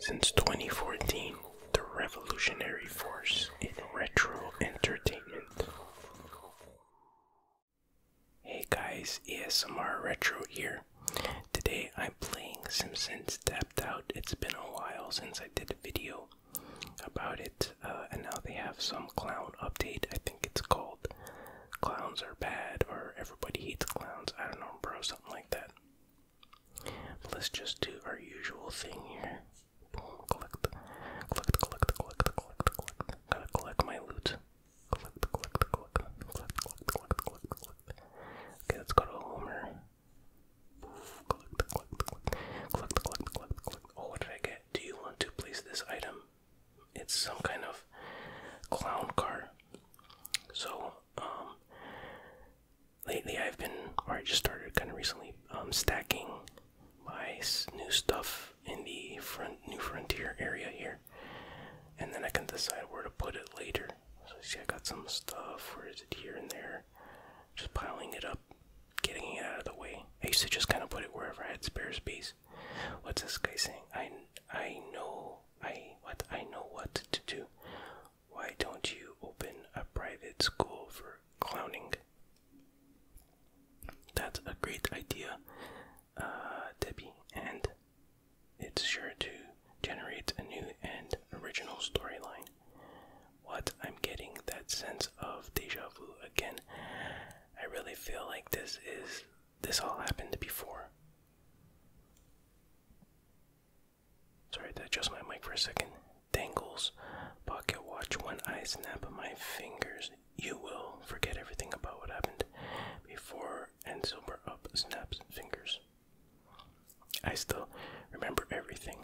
Since 2014, the revolutionary force in retro entertainment. Hey guys, ESMR Retro here. Today I'm playing Simpsons Tapped Out. It's been a while since I did a video about it, uh, and now they have some clown update. I think it's called Clowns Are Bad or Everybody Hates Clowns. I don't know, bro, something like that let's just do our usual thing here. Boom, collect, collect, collect, collect, collect, Gotta collect my loot. Collect, collect, collect, collect, collect, collect, collect, collect. Okay, let's go to Homer. Oof, collect, collect, collect, collect, collect, collect, Oh, what did I get? Do you want to place this item? It's some kind of clown car. So, um, lately I've been, or I just started kind of recently, um, stacking my new stuff in the front, new frontier area here, and then I can decide where to put it later. see, I got some stuff. Where is it? Here and there. Just piling it up, getting it out of the way. I used to just kind of put it wherever I had spare space. What's this guy saying? I I know I what I know what to do. Why don't you open a private school for clowning? That's a great idea, uh, Debbie, and it's sure to generate a new and original storyline. What I'm getting that sense of deja vu again. I really feel like this is this all happened before. Sorry to adjust my mic for a second. Dangles pocket watch when I snap my fingers. You will forget everything about what happened before and sober up snaps fingers. I still remember everything.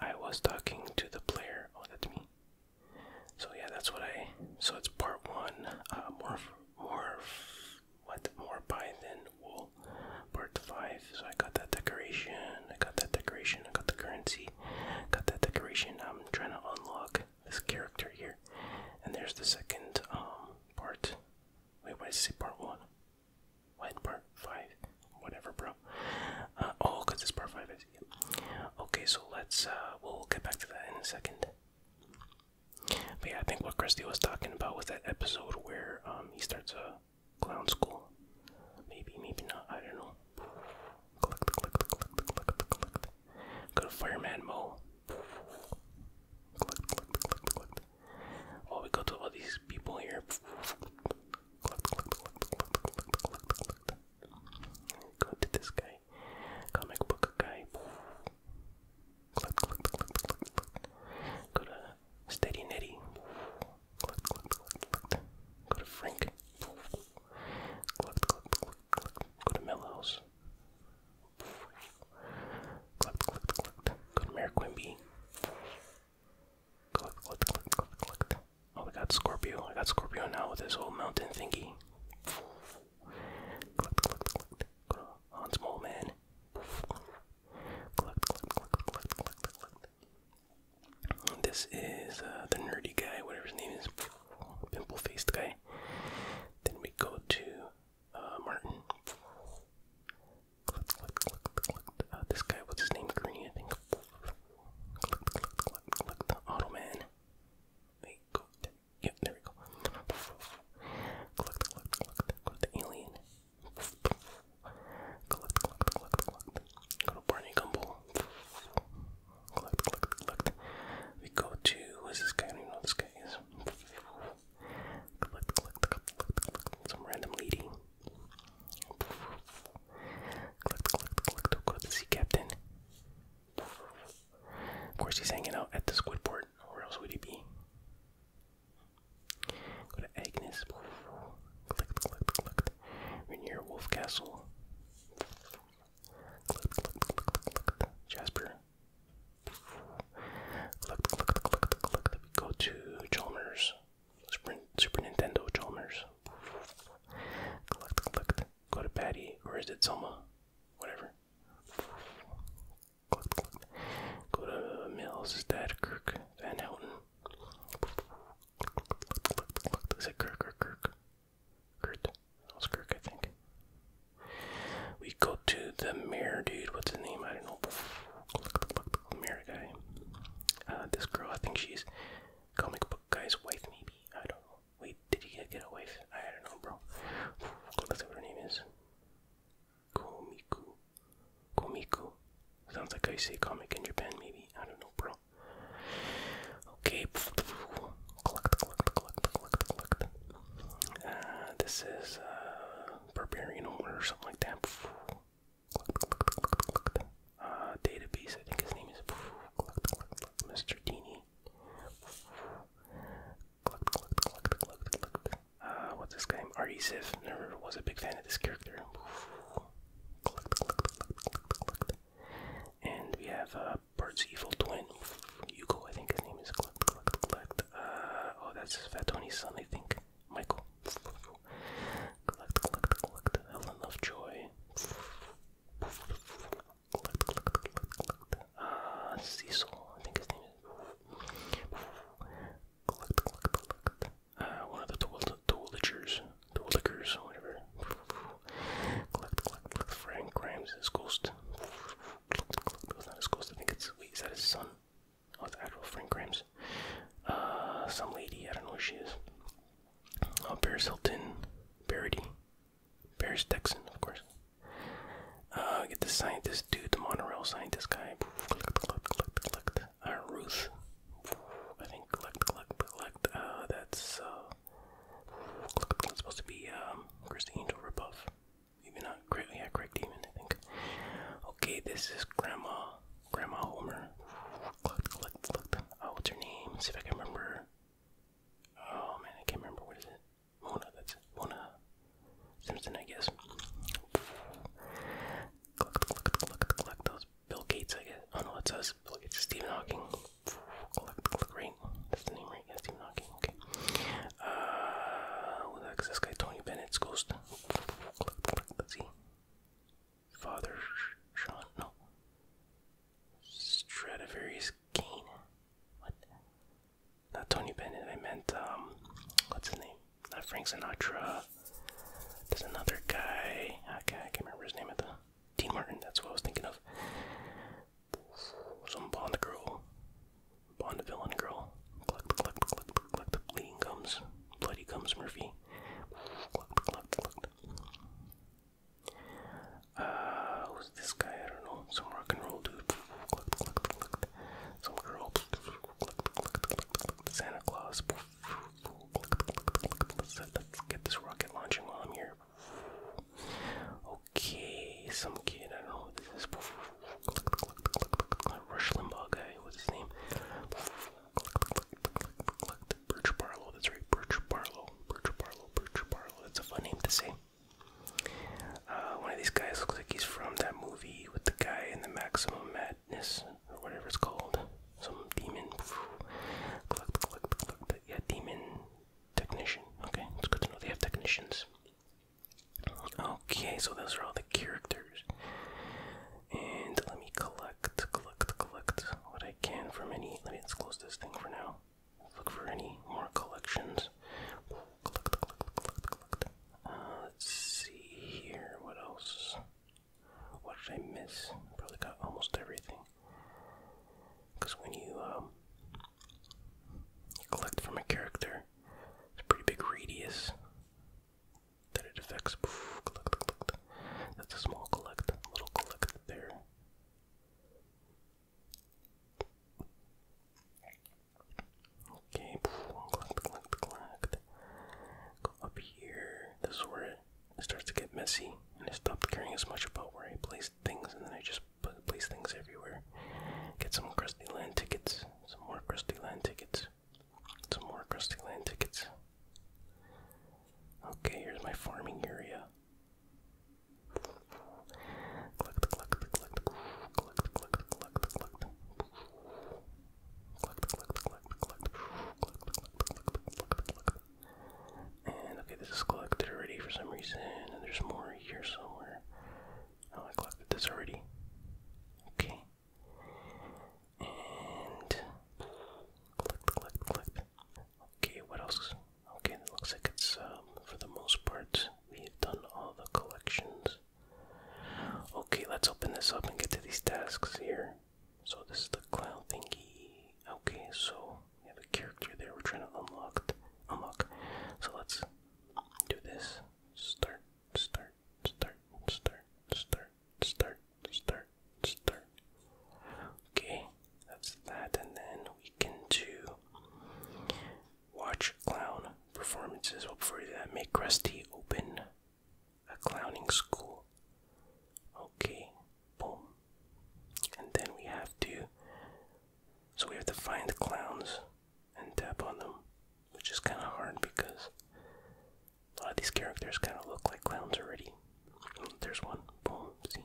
I was talking to the player. Oh, that's me. So yeah, that's what I. So it's part one. Uh, morph, morph what more python wool part five so i got that decoration i got that decoration i got the currency got that decoration i'm trying to unlock this character here and there's the second um part wait why is it part one what part five whatever bro uh, oh because it's part five is okay so let's uh, we'll get back to that in a second yeah, I think what Christy was talking about was that episode where um, he starts a clown school. Maybe, maybe not. I don't know. Go to Fireman Mo. Oh, we go to all these people here. Go to this guy guy, comic book guy. Click, click, click, click, click. Go to Steady Netty. Click, click, click, click. Go to Frank. Click, click, click, click. Go to Melhouse. Click, click, click. Go to Mayor Quimby. Click, click, click, click, click. Oh, I got Scorpio. I got Scorpio now with this whole mountain thingy. Collect, collect, Man. This is uh, the nerdy guy, whatever his name is. Pimple faced guy. Then we go to uh, Martin. Uh, this guy, what's his name? Greeny, I think. Auto Man. Wait, go. Yeah, there we go. Collect, collect, collect, collect the alien. Collect, collect, collect, collect. Go to Barney Gumble. Collect, collect, collect. We go to who's this guy? I don't even know who this guy is. Collect, collect, collect, collect. Some random lady. Collect, collect, collect. Go to sea captain. Of course, he's hanging out at the squid port. Where else would he be? Go to Agnes. Clicked, clicked, clicked. we near Wolf Castle. Clicked, clicked, clicked, clicked. Jasper. Clicked, clicked, clicked, clicked. We go to Chalmers. Super, Nintendo Chalmers. Clicked, clicked. Go to Patty. Or is it Selma? whatever. Go to Mills, is Kirk Van Houten? Is it Kirk or Kirk? Kurt. That was Kirk, I think. We go to the mirror dude. What's his name? I don't know. Mirror guy. Uh, this girl, I think she's comic book guy's wife, maybe. I don't Wait, did he get away? I don't know, bro. Let's see what her name is. Komiku. Komiku. Sounds like I say comic in Japan, maybe. I don't know, bro. Okay. Uh, this is uh, Barbarian Order or something like that. Uh, database, I think his name is Mr. Dini. Uh, what's this game? R.E. Ziff. Never was a big fan of this character. And we have uh, Bert's evil twin. Yuko, I think his name is. Clucked, uh, oh, that's Fat Tony's son, I think. Michael. Helen of Joy collect, collect, collect, collect. Uh, Cecil, I think his name is. collect, collect, collect. Uh, one of the tool, tool lickers, tool lickers, whatever. collect, collect, collect. Frank Grimes is his ghost. collect, collect. not his ghost. I think it's. Wait, that his son? Oh, it's actual Frank Grimes. Uh, some lady. I don't know who she is. Uh, Paris Hilton, Parody. Paris Dixon, of course. Uh, get the scientist dude, the monorail scientist guy. Ruth. I think uh, that's uh, supposed to be um, the Angel ripoff. Maybe not. yeah, Craig Demon, I think. Okay, this is Grandma, Grandma Homer. Oh, what's her name? see if I can remember. Oh man, I can't remember what is it. Mona, that's Mona Simpson, I guess. Collect, collect, collect, collect those. Bill Gates, I guess. Oh no, it's us. Bill Gates, Hawking. Collect, collect, right? That's the name, right? Yeah, Stephen Hawking. Okay. Uh, who the heck this guy? Tony Bennett's ghost. Let's see. Father Sean, no. Stradivarius Kane. What? Not Tony Bennett. I meant um, what's his name? Not Frank Sinatra. There's another guy. Ah, okay, I can't remember his name at the. Dean Martin. That's what I was thinking of. Some Bond girl, Bond villain girl. Cluck the cluck the cluck the cluck the bleeding gums, bloody gums Murphy. Cluck the cluck the cluck. Uh, who's this guy? I don't know. Some rock and roll dude. Some girl. Santa Claus. get this rocket launching while I'm here. Okay, some kid. I don't know who this is. Rush Limbaugh guy. What's his name? Birch Barlow, that's right, Birch Barlow, Birch Barlow, Birch Barlow, that's a fun name to say. Uh, one of these guys looks like he's from that movie with the guy in the Maximum Madness, or whatever it's called. Some demon, yeah, demon technician. Okay, it's good to know they have technicians. Okay, so those are all the characters. And let me collect collect, what I can from any. Let me us close this thing for now. look for any more collections. Uh, let's see here. What else? What did I miss? Probably got almost everything. Because when you um, collect from a character, it's a pretty big radius that it affects. That's a small collect, little collect there. Okay, collect, collect, collect. Go up here. This is where it starts to get messy, and I stopped caring as much about where I placed things, and then I just put, place things everywhere. Get some crusty land tickets, some more crusty land tickets, some more crusty land tickets. Okay, here's my farming area. And okay, this is collected already for some reason, and there's more here somewhere. Oh, I collected this already. Okay. And clicked, clicked, clicked. Okay, what else? Okay, it looks like it's um, for the most part we've done all the collections. Okay, let's open this up and get to these tasks here. So this is the cloud thingy. Okay, so we have a character there we're trying to unlock. Unlock. So let's do this. Start, start, start, start, start start, start, start, Okay, that's that, and then we can do watch clown performances. before that? Make Krusty open a clowning school. Okay, boom. And then we have to. So we have to find clowns and tap on them, which is kind of hard because a lot of these characters kind of look like clowns already. There's one. Boom. See.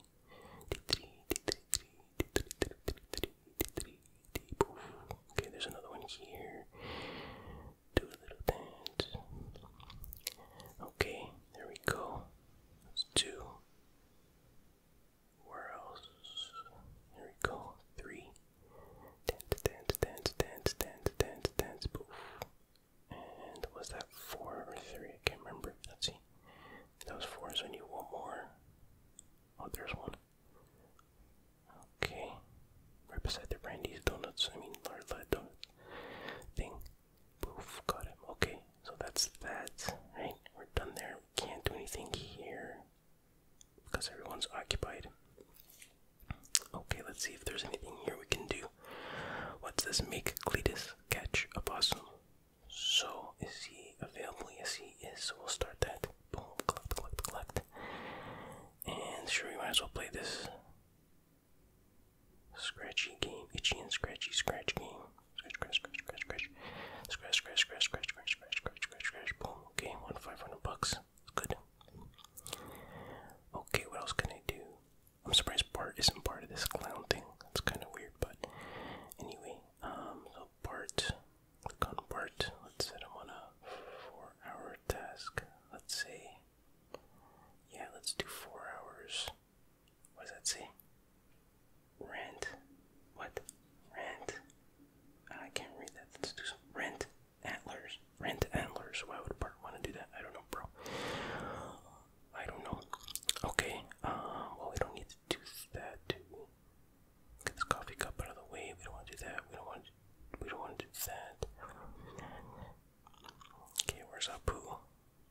Okay, there's another one here. Do a little bit. Okay, there we go. That's two. Where else? There we go. Three. Dance, dance, dance, dance, dance, dance, dance. Poof. And was that four or three? I can't remember. Let's see. That was four, so I need one more. Oh, there's one. Okay. Right beside the Brandy's Donuts, I mean, large lead donut thing. Poof, got him. Okay, so that's that, right? We're done there. We can't do anything here because everyone's occupied. Okay, let's see if there's anything here we can do. What's this? Make Cletus catch a possum. So, is he available? Yes, he is. So, we'll start that. Boom, collect, collect, collect. And sure, we might as well play this scratchy game. Itchy and scratchy scratch game. Scratch, scratch, scratch, scratch, scratch. Scratch, scratch, scratch, scratch, scratch, scratch, scratch, scratch, scratch. Boom. Okay, one 500 bucks. Good. Okay, what else can I do? I'm surprised Bart isn't part of this clown thing. That's kind of weird, but anyway. Um, so Bart, click on Bart. Let's set him on a four-hour task. Let's say, yeah, let's do four hours. What does that say? Rent. What? Rent. Ah, I can't read that. Let's do some rent antlers. Rent antlers. Why would Bart want to do that? I don't know, bro. I don't know. Okay. Um. Well, we don't need to do that. Too. Get this coffee cup out of the way. We don't want to do that. We don't want. To, we don't want to do that. Okay. Where's Apu?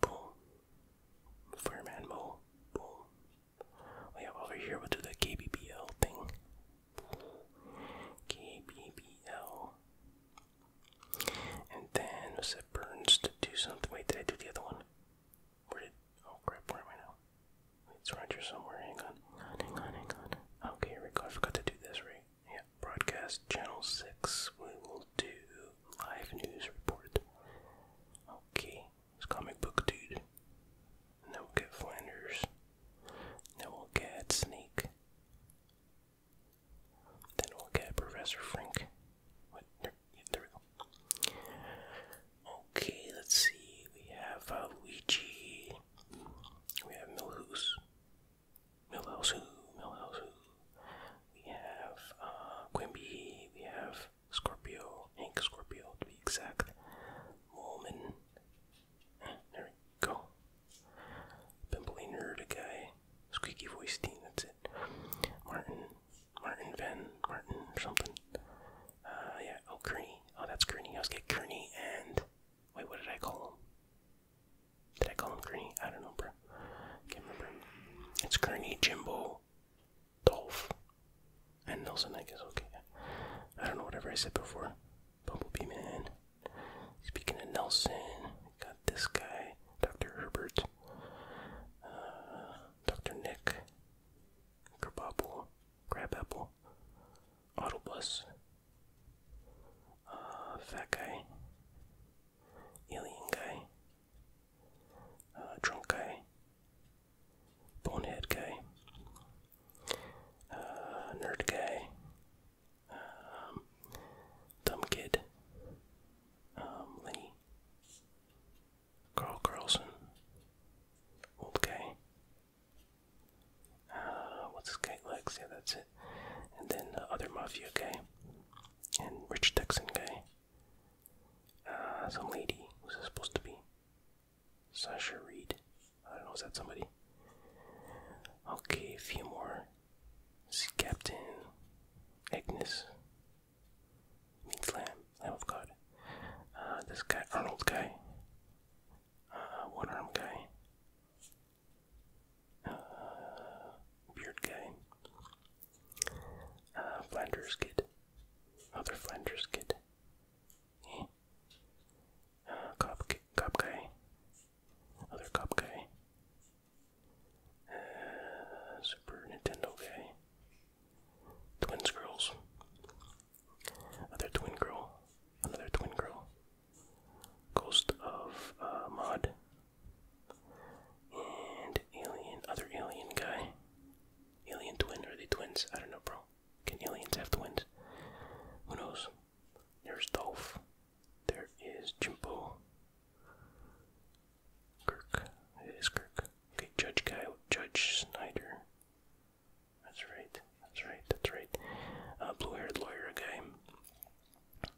Boom. Fireman Mo. Boom. We oh, have over here. We'll do the KBBL thing. KBBL. And then was it Burns to do something? Wait, did I do the other one? Where did? Oh crap! Where am I now? It's Roger somewhere. Hang on. Hang on. Hang on. Okay, here we go. I forgot to do this right. Yeah. Broadcast channel six. We will do live news report. Okay. It's comic book dude. And we get Flanders. Then we'll get Sneak. Then we'll get Professor Frink. Okay, let's see. We have uh, Luigi. We have Milhouse. Milhouse who? Milhouse who? We have uh, Quimby. We have Scorpio. Ink Scorpio, to be exact. Molman. Eh, there we go. Pimply nerd guy. Squeaky voice team, that's it. Martin. Martin Van. Martin something. Uh, yeah. Oh, Kearney. Oh, that's Kearney. I was getting Kearney and. Wait, what did I call him? Did I call him Kearney? I don't know, bro. Can't remember. It's Kearney, Jimbo, Dolph, and Nelson, I guess. Okay. I don't know, whatever I said before. Bumblebee Man. Speaking of Nelson, got this guy, Dr. Herbert, uh, Dr. Nick, Grabapple, Grabapple, Autobus, uh, Fat Guy, Alien Guy, uh, Drunk Guy, Bonehead Guy, uh, nerd guy, um, dumb kid, um, Carl Carlson, old guy. Uh, what's this guy? Lex. Yeah, that's it. And then other mafia guy, and rich Texan guy. Uh, some lady who's supposed to be? Sasha Reed. I don't know, is that somebody? Okay, a few more. See Captain Agnes. Means Lamb, Lamb God. Uh, this guy, Arnold guy. Uh, one arm guy. Uh, beard guy. Flanders kid. Other Flanders kid. Uh, cop, cop guy. Other cop guy. Uh, Super Nintendo guy. Twins girls. Other twin girl. Another twin girl. Ghost of uh, Mod. And alien, other alien guy. Alien twin, are the twins? I don't know, bro. Can aliens have twins? Who knows? There's Dolph. There is Jimbo. Kirk. It is Kirk. Okay, Judge Guy. Judge Snyder. That's right. That's right. That's right. Uh, Blue-haired lawyer guy.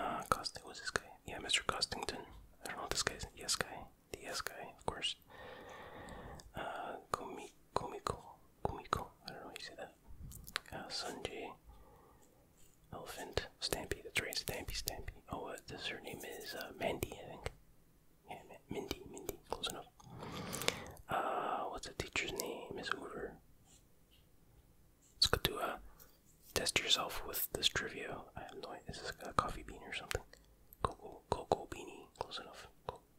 Uh, Cost. Was this guy? Yeah, Mr. Costington. I don't know what this guy's. Yes guy. The yes guy, of course. Uh, Gomit. Komiko, Komiko, I don't know how you say that. Uh, Sanjay, Elephant, Stampy, that's right, Stampy, Stampy. Oh, uh, this, her name is uh, Mandy, I think. Yeah, Mindy, Mindy, close enough. Uh, what's the teacher's name? Miss Hoover. Let's go to uh, test yourself with this trivia. Is this a coffee bean or something? Cocoa, cocoa beanie, close enough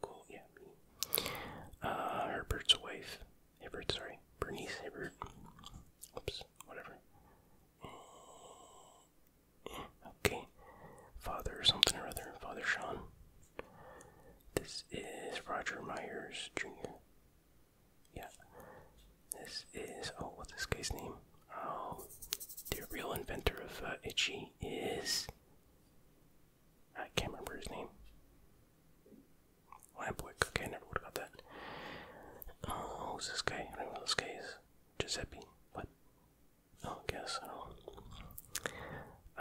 cool, yeah, me. Uh, Herbert's wife. Herbert, sorry. Bernice Herbert. Oops, whatever. Okay. Father something or other. Father Sean. This is Roger Myers Jr. Yeah. This is, oh, what's this guy's name? Oh, the real inventor of uh, Itchy is I can't remember his name. Lampwick, okay, I never would have got that. Uh, who's this guy? I don't know this guy Giuseppe, what? Oh, guess, I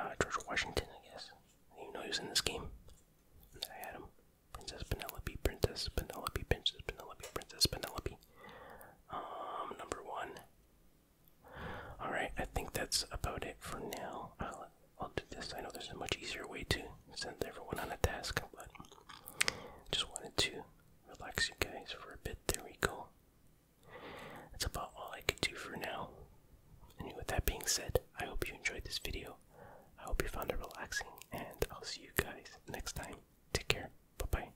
uh, George Washington, I guess. You know he in this game. I had him. Princess Penelope, Princess Penelope, Princess Penelope, Princess Penelope. Um, number one. Alright, I think that's about it for now. I'll, I'll do this. I know there's a much easier way to send everyone on a task, but just wanted to relax you guys for a bit. There we go. That's about all I could do for now. And with that being said, I hope you enjoyed this video. I hope you found it relaxing, and I'll see you guys next time. Take care. Bye bye.